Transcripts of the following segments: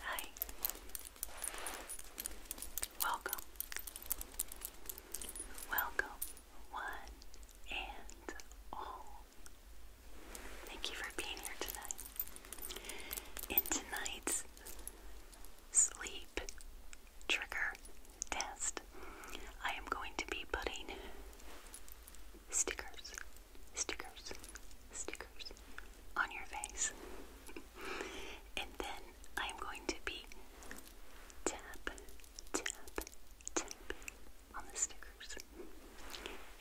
Hi. Welcome. Welcome, one and all. Thank you for being here tonight. In tonight's sleep trigger test, I am going to be putting stickers, stickers, stickers on your face. and then I'm going to be tap, tap, tap on the stickers.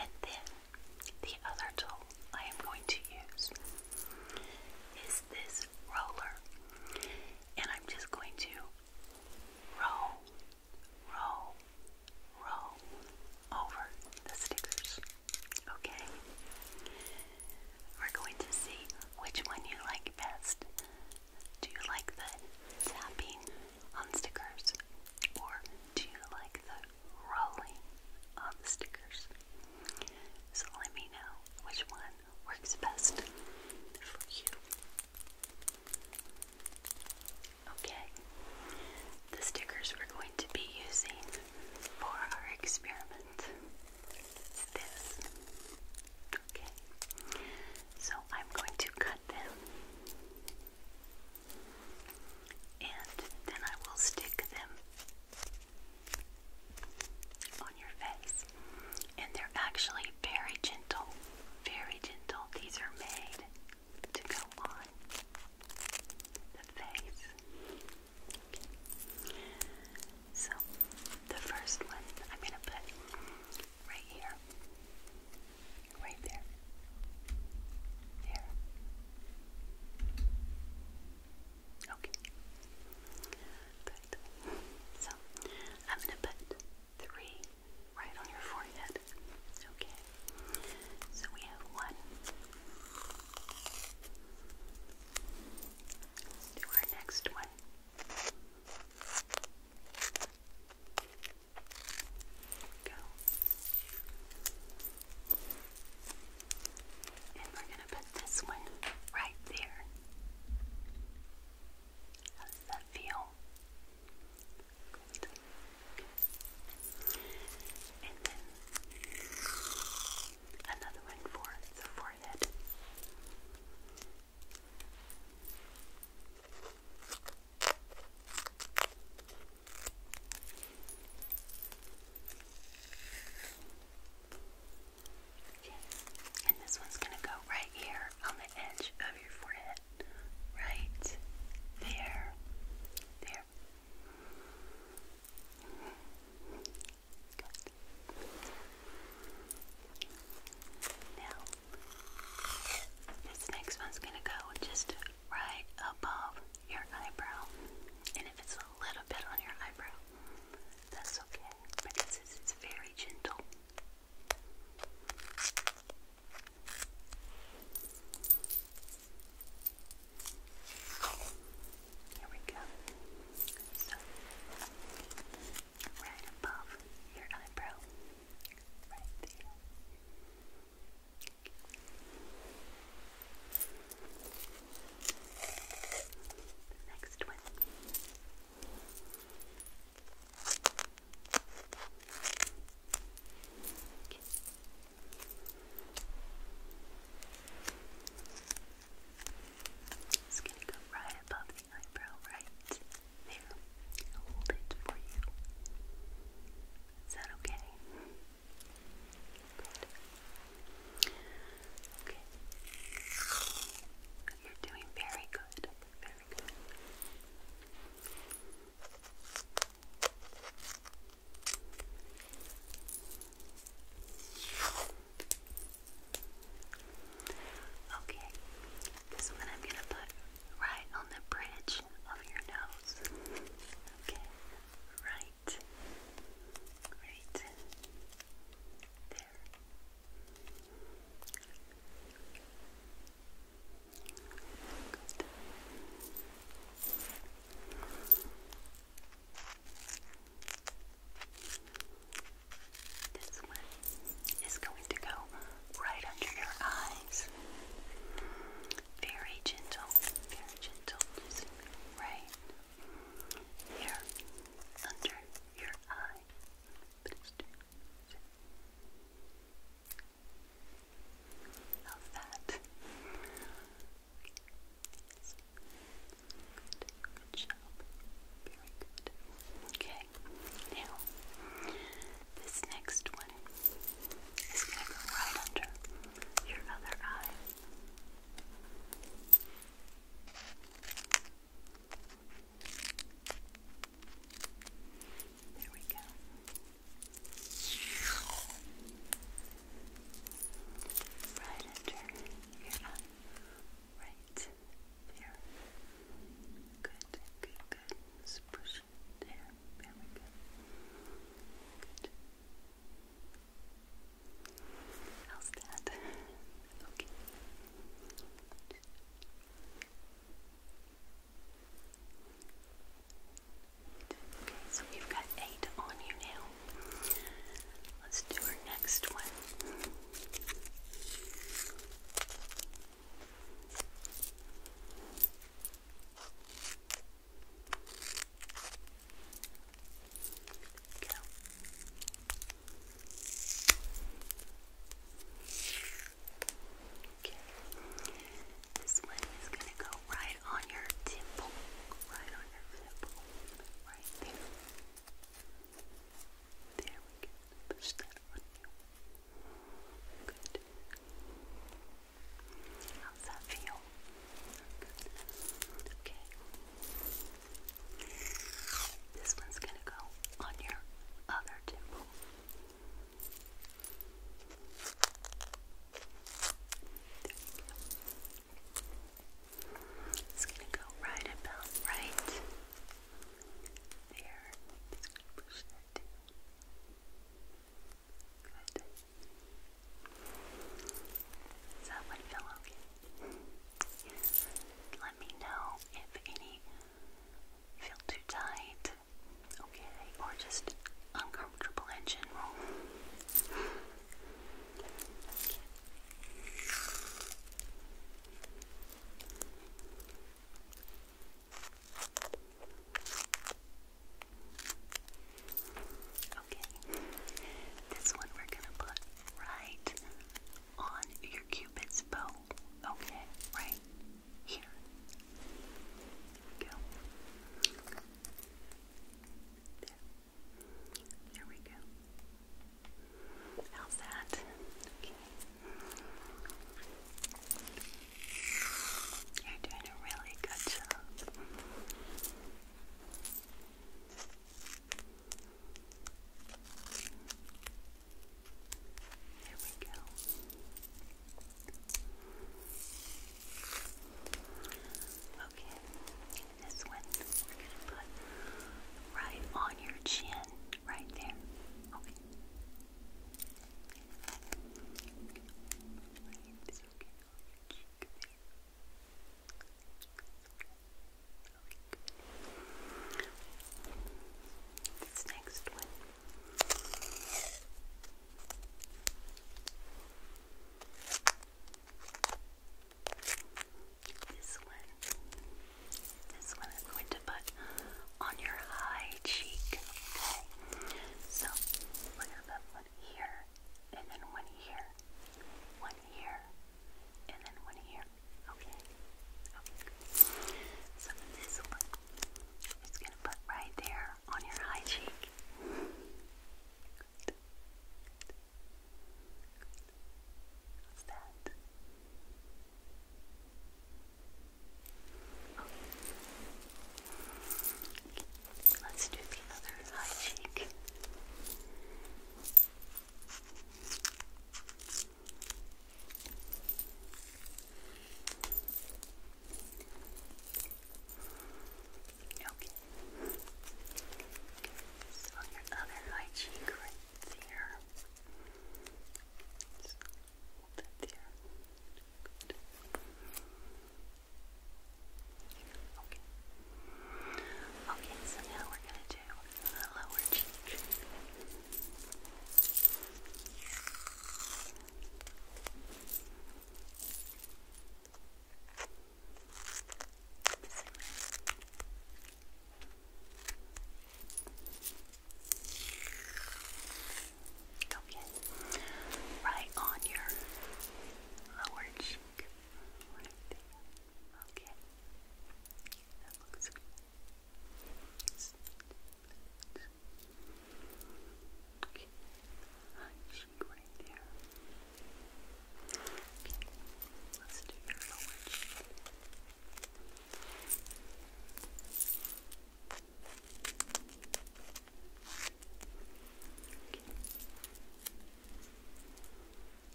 And then the other tool I am going to use is this roller. And I'm just going to roll roll, roll over the stickers. Okay? We're going to see which one you like best. Do you like the tapping on stickers or do you like the rolling on stickers? So let me know which one works best for you. Okay, the stickers we're going to be using for our experiment this. Okay, so I'm going to cut them and then I will stick them on your face. And they're actually very gentle, very gentle. These are made to go on the face. So, the first one I'm going to put right here, right there, there. Okay, good. So, I'm going to put three right on your forehead. It's okay. So we have one. Let's do our next one. Go. And we're going to put this one right there. How does that feel? Good. Okay. And then another one for the forehead. And this one's going to go right here on the edge of your forehead right there. There. Now, this next one's going to go just right above your eyebrow. And if it's a little bit on your eyebrow, that's okay because it's very gentle. Here we go. So, right above your eyebrow, right there. next one. It's going to go right above the eyebrow, right there. I'll hold for you. Is that okay? Good. Okay. You're doing very good. Very good. Okay, this one I'm going to put right on the bridge of your nose. Okay, right, right, there. Good. This one is going to go right under your eyes. Very gentle, very gentle. right here under your eye of that. Good, job. Very good. Okay, now this next one is going to go right under your other eye. There we go. Right under your Right there. Good, good, good. Just there. There we go. How's that? Okay. Okay, so we've got eight on you now. Let's do our next one. Go. This one is gonna go right on your temple. Right on your temple. Right there. There we go. Push that on Good. How's that feel? Okay. This one's gonna go on your other temple. It's going to go right about right there. Good. Does that one feel okay? Let me know if any feel too tight okay, or just uncomfortable in general. Okay, this one we're gonna put right on your cupid's bow. Okay, right here. There we go. There. There we go. How's that? Okay. You're doing a really good job. There we go. Okay, this one we're going to put right on your chin, right there. Okay. This next one this one, this one is going to put on your high cheek. Okay, so one here, and then one here, one here, and then one here. okay. So this one it's going to put right there on your high cheek. What's that? Let's do the other high cheek. Okay. So your other right cheek right there. Okay. Okay, so now we're gonna do the lower cheek. Okay. Right on your lower cheek. Okay. That looks good. Okay. Hunching right there. Okay. Let's do your lower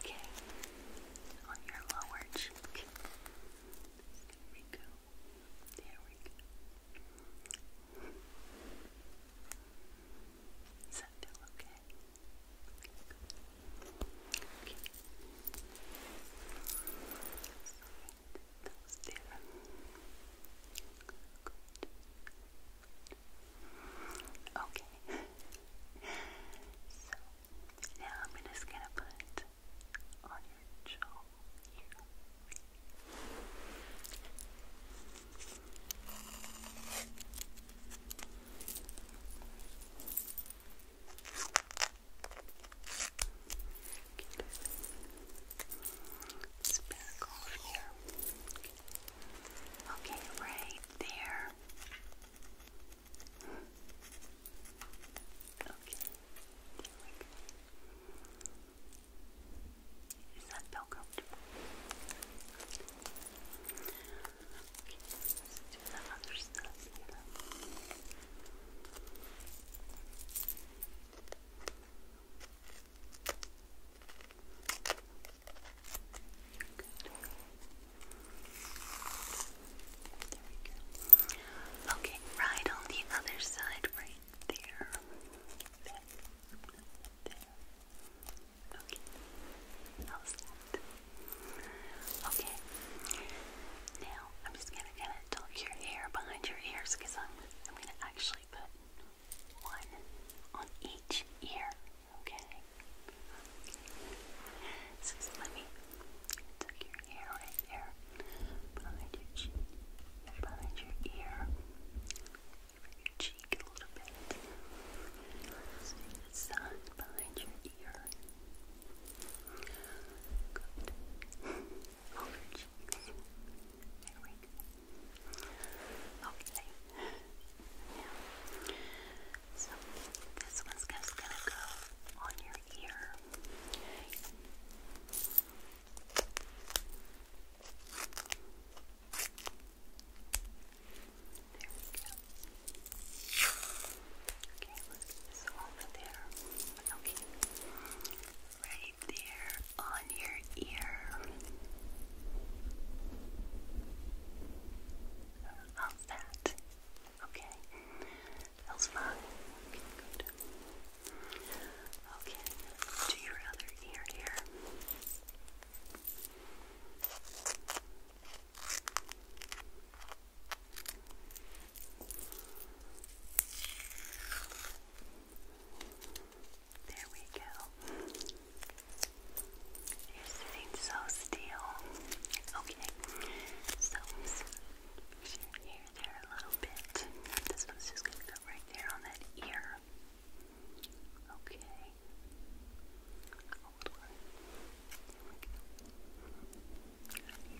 Okay, on your lower cheek. There we go. There we go. Does that feel okay? Okay. so now I'm just gonna put on your jaw here. It's back off here. Okay, right there. Okay. Is that feel comfortable? Okay, let's do the other stuff Okay, right on the other side, right there. Okay. Now I'm just gonna kind of tuck your hair behind your ears because I'm I'm gonna actually put one on each ear. Okay. So let me tuck your hair right there behind your cheek, behind your ear, over your cheek a little bit. So the sun behind your ear. Good. Over your There we go. Okay. Now, so this one's just gonna go on your ear. There we go. Okay, get this over there. Okay. Right there on your ear. How's that? Okay. Feels fine. Okay, to your other ear here. There we go. You're sitting so still. Okay, so your there a little bit. This one's just gonna go right there on that ear. Okay. Hold on.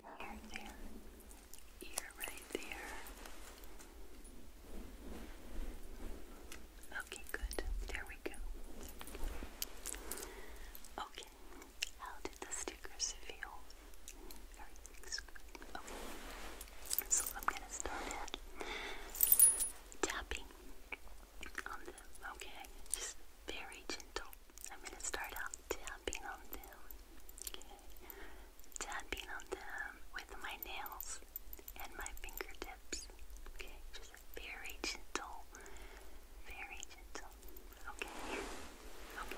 There there. Ear right there. Okay, good. There we go. Okay, how did the stickers feel? Okay, so I'm gonna start tapping on them. Okay, just very gentle. I'm gonna start out tapping on them. Okay, tapping on them with my nails and my fingertips. Okay, just very gentle. Very gentle. Okay. Okay.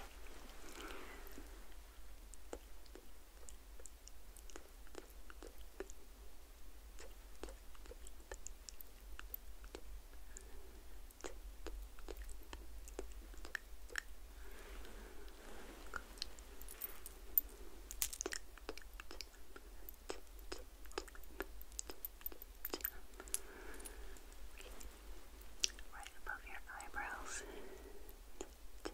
Right above your eyebrows. Okay.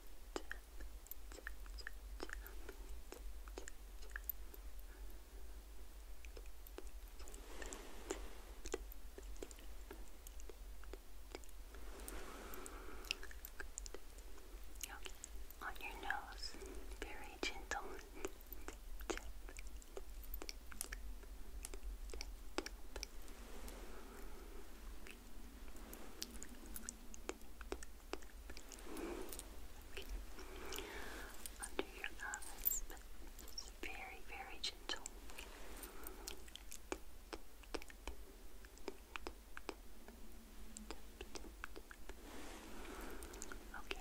On your nose, very gentle. Under your eyes, very, very gentle. Okay,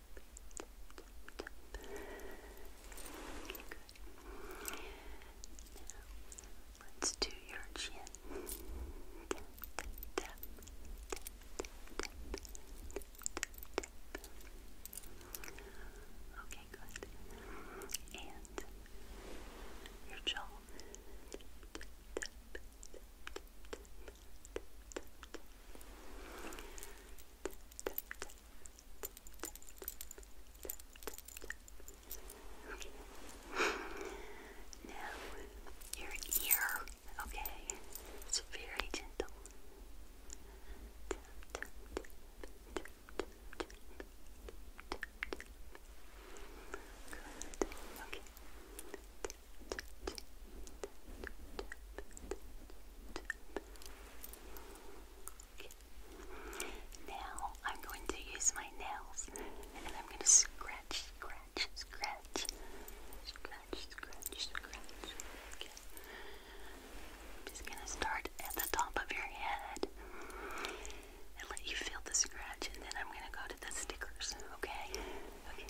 Good. Now, let's do your chin. Okay, good. And your jaw. Now, your ear, okay, it's very gentle. Okay. Now I'm going to use my nails and I'm going to scratch, scratch, scratch, scratch, scratch, scratch. I'm just going to start at the top of your head and let you feel the scratch, and then I'm going to go to the stickers. Okay? Okay.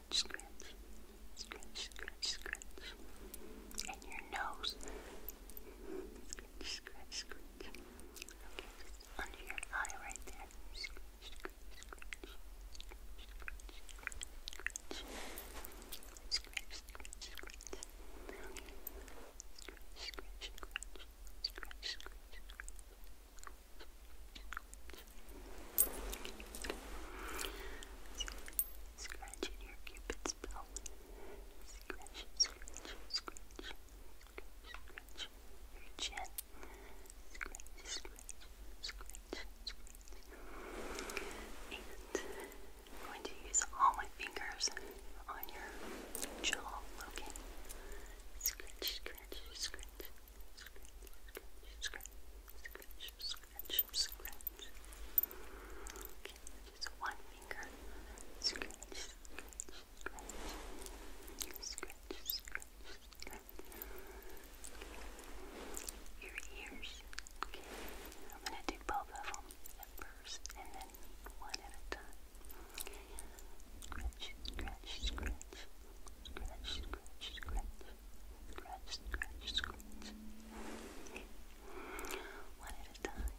scratch, scratch, scratch, scratch. And your nose. Scratch, scratch, scratch. Okay, under your eye right there. Scratch, scratch, scratch. Scratch, scratch, scratch. Scratch, scratch, scratch. Okay. Scratch, scratch, scratch. Scratch, scratch, scratch. Scratch, Scratching your cupid's bow. Scratch, scratch, scratch, scratch, scratch your chin. Scratch, scratch, scratch, scratch. I'm going to use all my fingers on your jaw, okay? Scratch, scratch, scratch scratch, scratch. Okay, just one finger. Scratch, scratch, scratch. Scratch, scratch, scratch. Okay. Your ears. Okay, I'm gonna do both of them at first and then one at a time. Okay. Scratch, scratch, scratch. Scratch, scratch, scratch. Scratch, scratch, One at a time.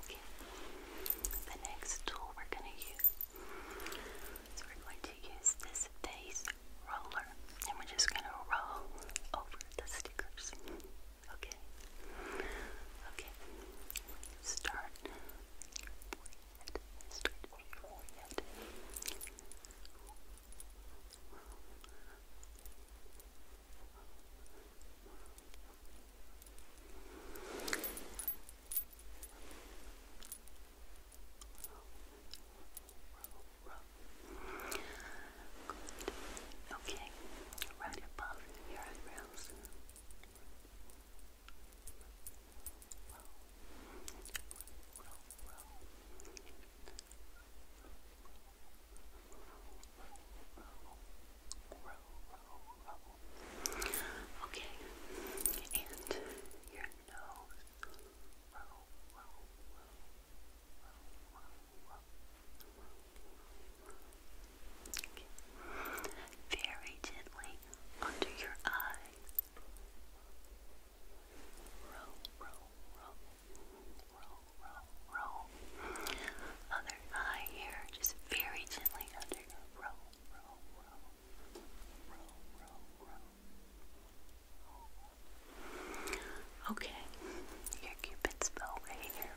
Okay. The next tool we're going to use we're going to use this face roller and we're just going to roll over the stickers. Okay. Okay. Start forehead. Start forehead. Okay, right above your eyebrows. Okay, and your nose. Okay. Very gently under your eye. Roll, roll, roll, roll, roll, Other eye here, just very gently under your roll, roll, roll, roll, Okay, your cupid's bow right here.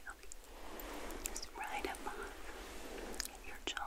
Okay. Just right above your jaw.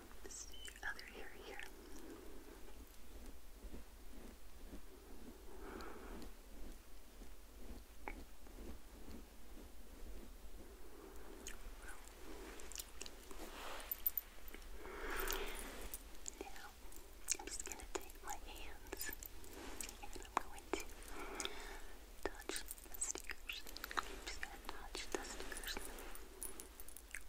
This is your other ear here. Now, I'm just going to take my hands and I'm going to touch the stickers. I'm just going to touch the stickers.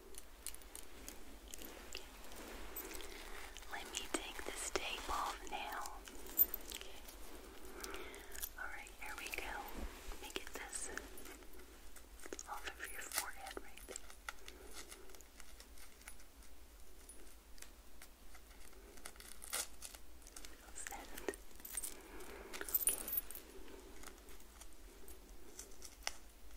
Okay. Let me take this tape off now. Alright, here we go. Let me get this off of your forehead right there. How's Okay.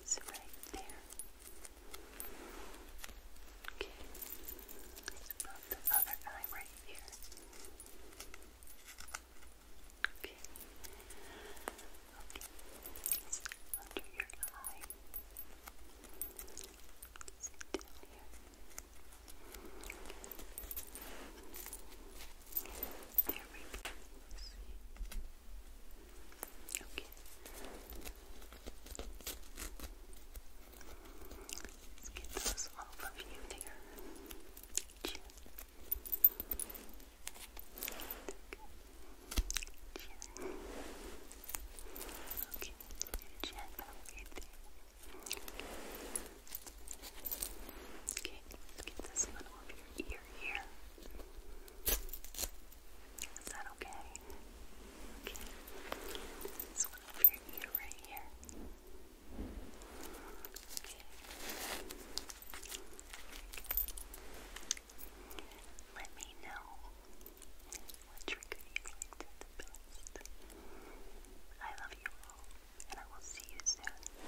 It's right there. Okay. Let's put the other eye right here. Okay. Okay. It's under your eye. It's down here. There we go. See? Okay. Let's get those off of you there. Chin. Okay. Okay, get this one over your ear here. Is that okay? Okay. This one over your ear right here. Okay. Let me know what trigger you liked the best. I love you all, and I will see you soon.